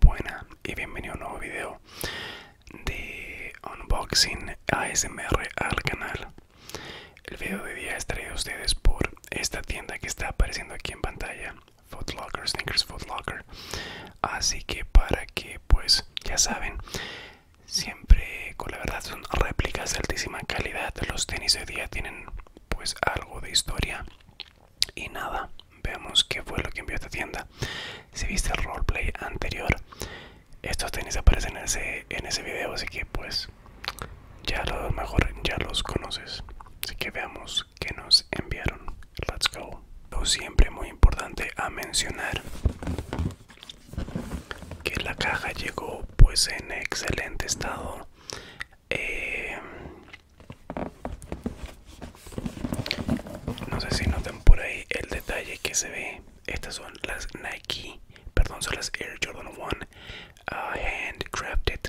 Buenas y bienvenido a un nuevo video de unboxing ASMR al canal. El video de día es traído a ustedes por esta tienda que está apareciendo aquí en pantalla, Foot Snickers Sneakers Locker Así que para que pues ya saben, siempre con la verdad son réplicas de altísima calidad los tenis de día tienen pues algo de historia y nada veamos qué fue lo que envió esta tienda si viste el roleplay anterior estos tenis aparecen en ese, en video así que pues ya lo mejor ya los conoces así que veamos qué nos enviaron let's go lo siempre muy importante a mencionar que la caja llegó pues en excelente estado eh, no sé si noten por ahí el detalle que se ve estas son las Nike perdón son las Air Jordan 1 ah, handcrafted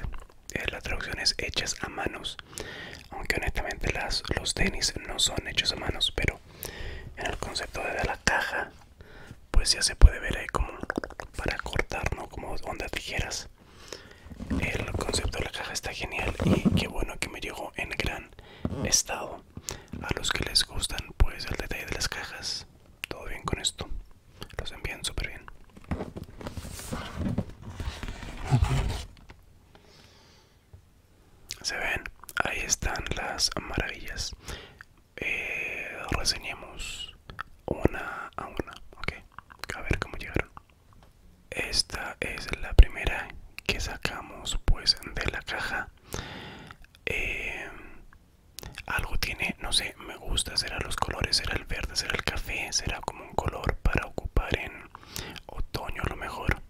las eh, la es hechas a manos aunque honestamente las, los tenis no son hechos a manos pero en el concepto de la caja pues ya se puede ver ahí como para cortar no como ondas tijeras el concepto de la caja está genial y qué bueno que me llegó en gran estado a los que les gustan pues el detalle de las cajas todo bien con esto los envían súper bien se ven ahí están las maravillas eh, reseñemos una a una ok a ver cómo llegaron esta es la primera que sacamos pues de la caja eh, algo tiene no sé me gusta será los colores será el verde será el café será como un color para ocupar en otoño a lo mejor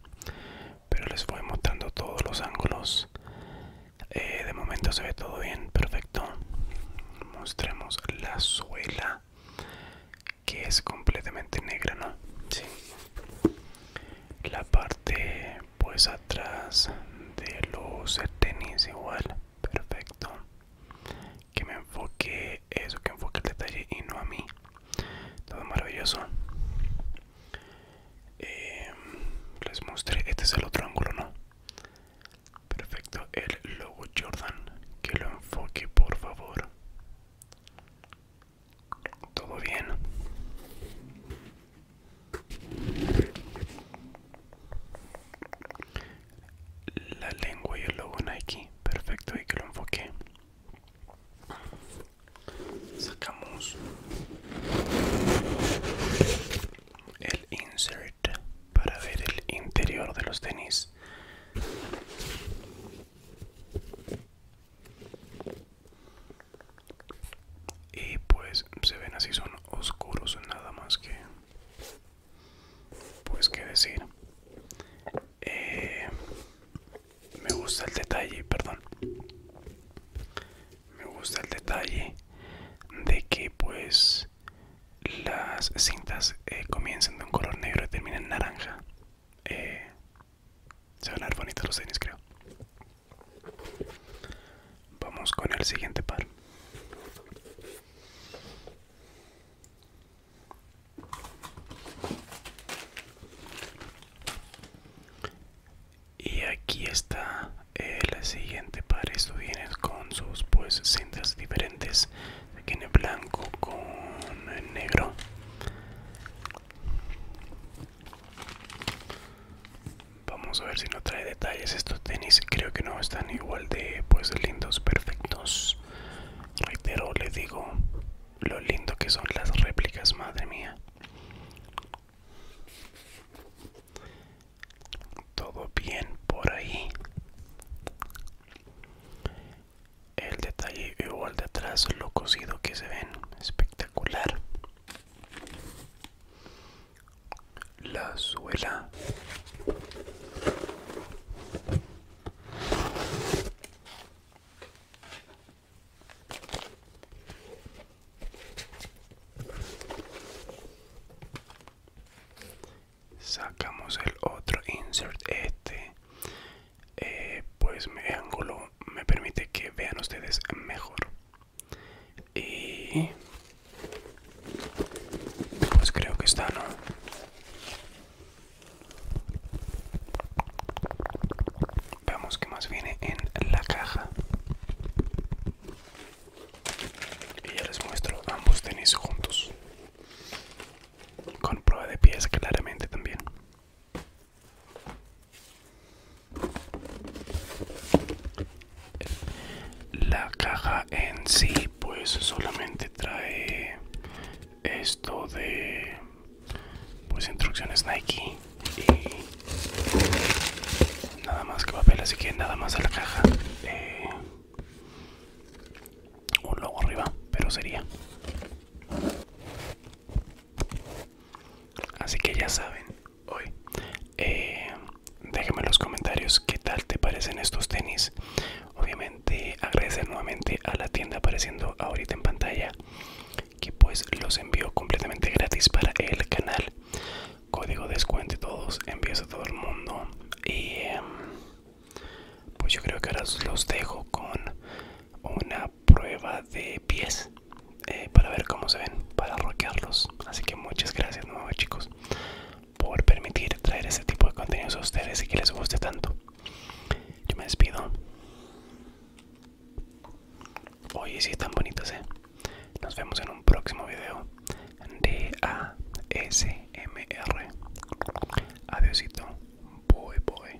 pero les voy mostrando todos los ángulos eh, de momento se ve todo bien perfecto mostremos la suela que es completamente negra no sí. la parte pues atrás de los tenis igual perfecto que me enfoque eso que enfoque el detalle y no a mí todo maravilloso em, les mostré este es el otro ángulo no perfecto el logo jordan que lo enfoque por favor todo bien la lengua y el logo Nike perfecto y que lo enfoque sacamos el insert para ver el interior de los tenis y pues se ven así son oscuros nada más que pues qué decir eh, me gusta el detalle perdón me gusta el detalle de que pues las cintas eh, comienzan comiencen de un color negro y terminen naranja eh, se van a ver los tenis creo vamos con el siguiente par y aquí está el eh, siguiente par Esto viene con sus pues cintas diferentes tiene blanco con negro vamos a ver si no trae detalles estos tenis creo que no están igual de pues lindos perfectos Reitero, le digo lo lindo que son las réplicas, madre mía. Todo bien por ahí. El detalle igual de atrás, lo cocido que se ven, espectacular la suela sacamos el otro insert este eh, pues mi ángulo me permite que vean ustedes mejor y pues creo que está, ¿no? Veamos qué más viene en la caja. Y ya les muestro ambos tenis juntos. Con prueba de pies claramente también la caja en sí pues solamente trae esto de pues instrucciones Nike y nada más que papel así que nada más a la caja eh, un logo arriba pero sería así que ya saben hoy. Eh, en los comentarios qué tal te parecen estos tenis. Obviamente agradecer nuevamente a la tienda apareciendo ahorita en pantalla que pues los envío completamente gratis para el canal. Código descuento todos, envíos a todo el mundo. Y em, pues yo creo que ahora los dejo con una prueba de pies eh, para ver cómo se ven, para roquearlos. Así que muchas gracias nuevos chicos por permitir traer este tipo de contenidos a ustedes y que les guste tanto. Yo me despido. Oye, si sí están bonitos, eh. Nos vemos en un próximo video de ASMR. adiósito Boy, boy.